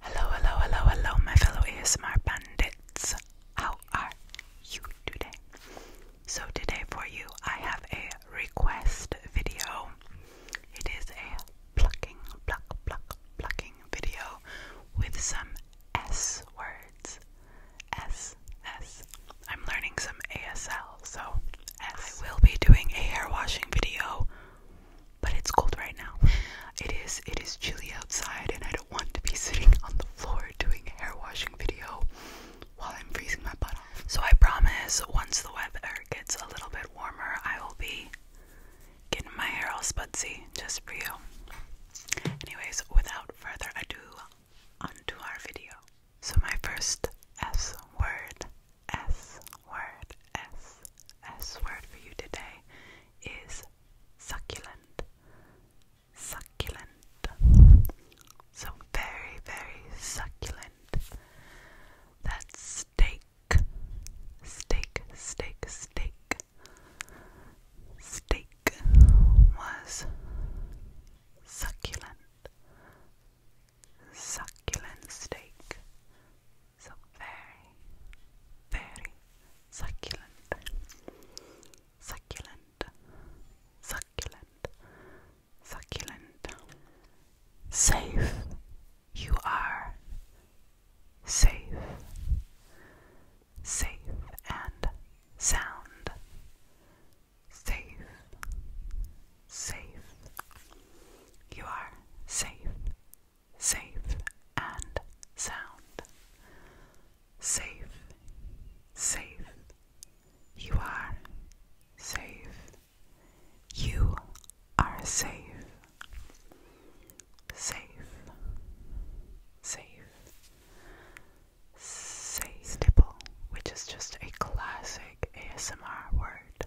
Hello, hello, hello, hello, my fellow ASMR bandits. How are you today? So, today for you, I have a request video. It is a plucking, pluck, pluck, plucking video with some S words. S, S. I'm learning some ASL, so I will be doing a hair washing video but it's cold right now. It is it is chilly outside and I don't want to be sitting on the floor doing a hair washing video while I'm freezing my butt off. So I promise once the weather gets a little bit warmer I will be getting my hair all spudsy just for you. Anyways, without further ado, onto our video. So my first S word S word, S, S word for you today is succulent. Succulent. So very, very succulent. That's steak. Steak, steak, steak. Steak was succulent. Succulent steak. So very, very succulent, succulent, succulent, succulent. Safe, you are safe, safe and sound, safe, safe. You are safe safe and sound. Safe, safe, you are safe, you are safe, safe, safe, safe, stipple, which is just a classic ASMR word.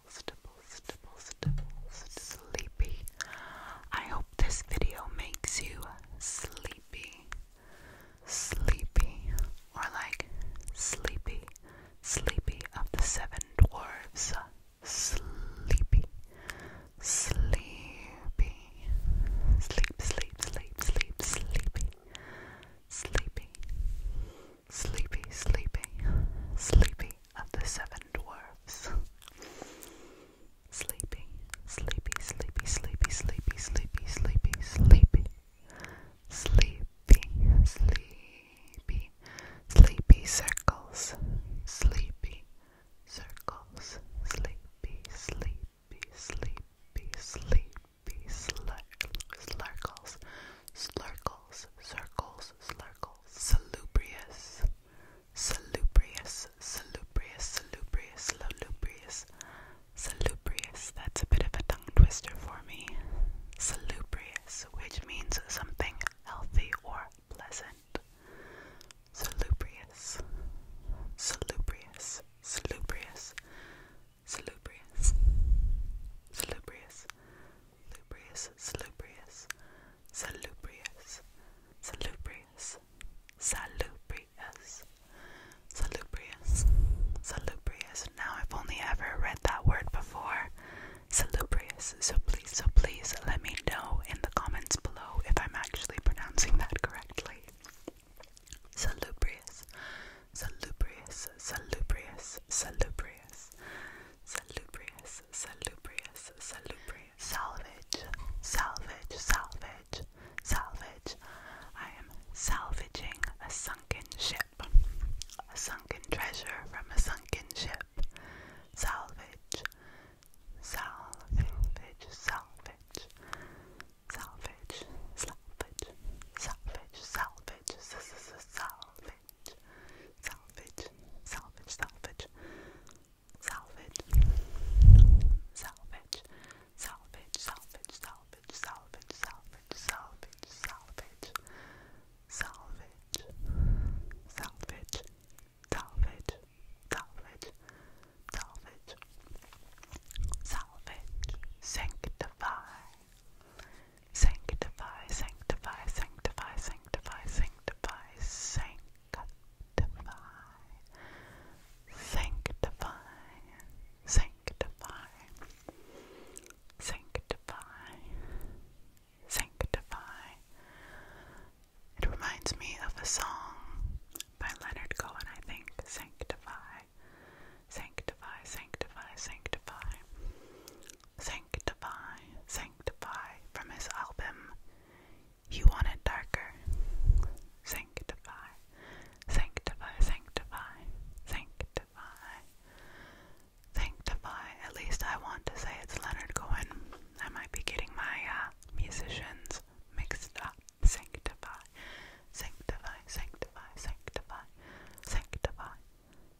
stipple, stipple, stipple, stipple, sleepy. I hope this video makes you sleepy, sleepy, or like sleepy, sleepy of the seven dwarves. Sleepy, sleepy, sleep, sleep, sleep, sleep, sleepy, sleepy. Sleepy, sleepy, sleepy of the seven dwarfs. Sleepy, sleepy, sleepy, sleepy, sleepy, sleepy, sleepy, sleepy. Sleepy, sleepy, sleepy circles, sleepy circles, sleepy, sleepy, sleepy, sleepy, slurkles, slurkles, circles, slurkles, salubrious, salubrious, salubrious, salubrious, salubrious, salubrious. That's a bit of a tongue twister for me. Salubrious, which means something healthy or pleasant. Salubrious, salubrious, salubrious, salubrious, salubrious, lubrius, salubrious, salubrious, salubrious, salubrious, salubrious, salubrious. Now, I've only ever read that word before, salubrious, so please, so please let me know in the comments below if I'm actually pronouncing that correctly. Salubrious, salubrious, salubrious, salubrious, salubrious, salubrious, salubrious, salvage, salvage, salvage, salvage. I am salvaging a sunken ship, a sunken treasure from a sunken ship. Salvage, salvage, salvage, salvage, salvage, salvage, salvage, salvage salvage, salvage, salvage, salvage, salvage, salvage, salvage, salvage, salvage, salvage, salvage, salvage, salvage, salvage, salvage, salvage, salvage, salvage, salvage, sanctify. Sanctify, sanctify, sanctify, sanctify, sanctify, sanctify, sanctify, sanctify, sanctify, sanctify. It reminds me of a song by Leonard Cohen, I think. Sanctify, sanctify, sanctify, sanctify, sanctify, sanctify from his album. You want it darker. Sanctify, sanctify, sanctify, sanctify, sanctify. At least I want to say it's Leonard Cohen. I might be getting my uh, musicians mixed up. Sanctify, sanctify, sanctify, sanctify, sanctify,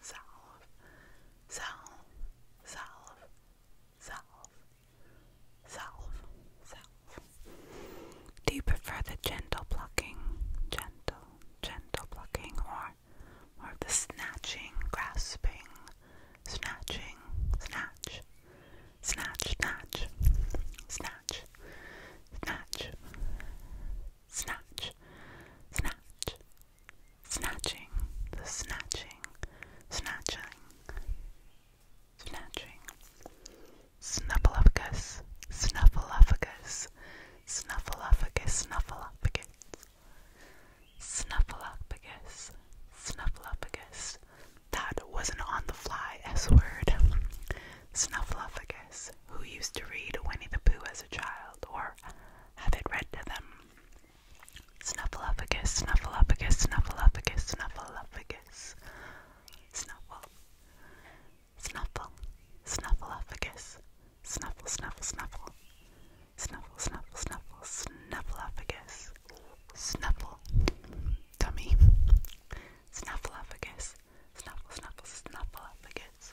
salve, salve, salve, salve, salve, salve. Do you prefer the gentle plucking, gentle, gentle plucking, or more of the snatching, grasping, snatching, snatch, snatch, snatch, snatch, snatch, snatch, snatch, Snatching, the snatching, snatching, snatching. Snuffleupagus, snuffleupagus, snuffleupagus, snuffleupagus. Snuffleupagus, snuffleupagus. That was an on the fly S word. Snuffleupagus, who used to read Winnie the Pooh as a child, or have it read to them. Snuffleupagus, snuffleupagus, snuffleupagus, snuffleupagus. Snuffle. Snuffle. Snuffleupagus. Snuffle, snuffle, snuffle. Snuffle, snuffle, snuffle. Snuffleupagus. Snuffle. Dummy. Snuffleupagus. Snuffle, snuffle, snuffleupagus.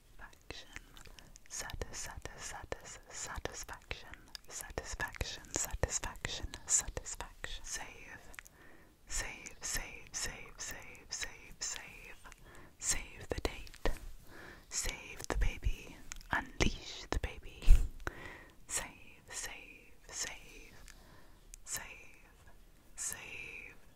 satisfaction, satisfaction, satisfaction, satisfaction, satisfaction, satisfaction. Save, save, save, save, save, save, save, save the date, save the baby, unleash the baby, save, save, save, save, save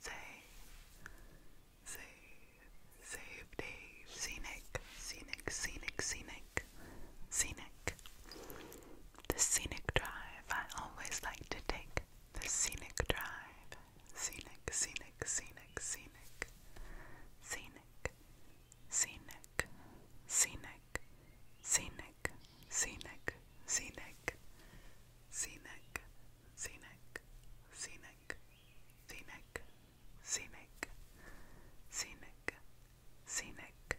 Say, say, save Scenic, scenic, scenic, scenic, scenic. The scenic drive. I always like to take the scenic drive. Scenic, scenic, scenic, scenic, scenic, scenic, scenic, scenic, scenic, scenic, scenic, scenic, scenic, scenic, scenic, scenic, scenic,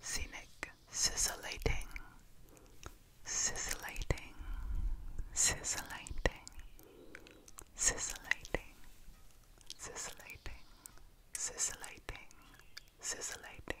scenic, scintillating, scintillating, scintillating, scintillating, scintillating, scintillating, scintillating.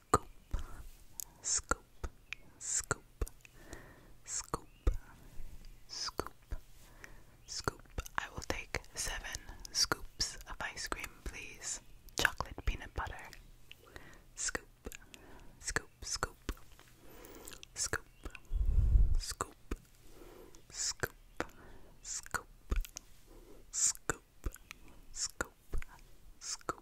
scoop, scoop, scoop, scoop, scoop, scoop. I will take seven scoops of ice cream, please. Chocolate peanut butter. Scoop, scoop, scoop, scoop, scoop, scoop, scoop, scoop, scoop,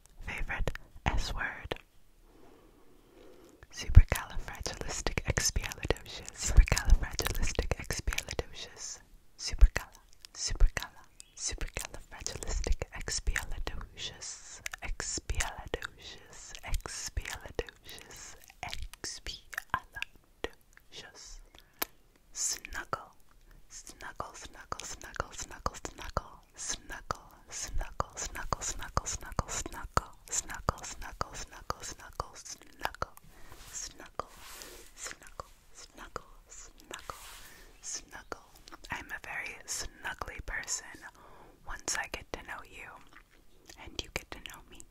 favorite S word. Supercalifragilisticexpialidocious. Supercalifragilisticexpialidocious. Supercala. Supercala. Supercalifragilisticexpialidocious. Expialidocious. Expialidocious. Expialidocious. Snuggle. Snuggle, snuggle, snuggle, snuggle, snuggle snuggle, snuggle, snuggle, snuggle, snuggle, snuggle, snuggle, snuggle, snuggle, snuggle, snuggle, snuggle, snuggle, snuggle, snuggle, snuggle. I'm a very snuggly person once I get to know you and you get to know me.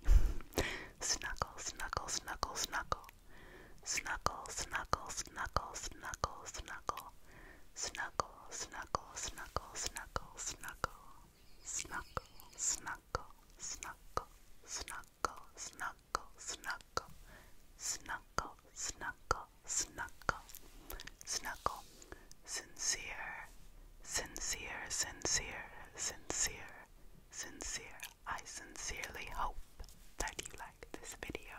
Snuggle, snuggle, snuggle, snuggle. Snuggle, snuggle, snuggle, snuggle, snuggle. Snuggle, snuggle, snuggle, snuggle, snuggle. Snuggle, snuggle, snuggle, snuggle, snuggle, snuggle. Snuggle, snuggle, snuggle. Snuggle. Sincere, sincere, sincere, sincere, sincere. I sincerely hope that you like this video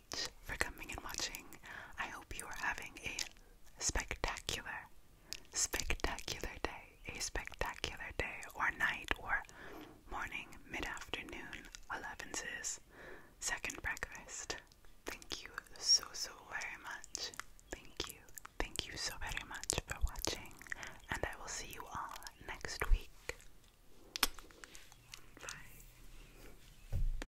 for coming and watching. I hope you are having a spectacular, spectacular day, a spectacular day or night or morning, mid afternoon, elevenses, second breakfast. Thank you so, so very much. Thank you. Thank you so very much for watching, and I will see you all next week. Bye.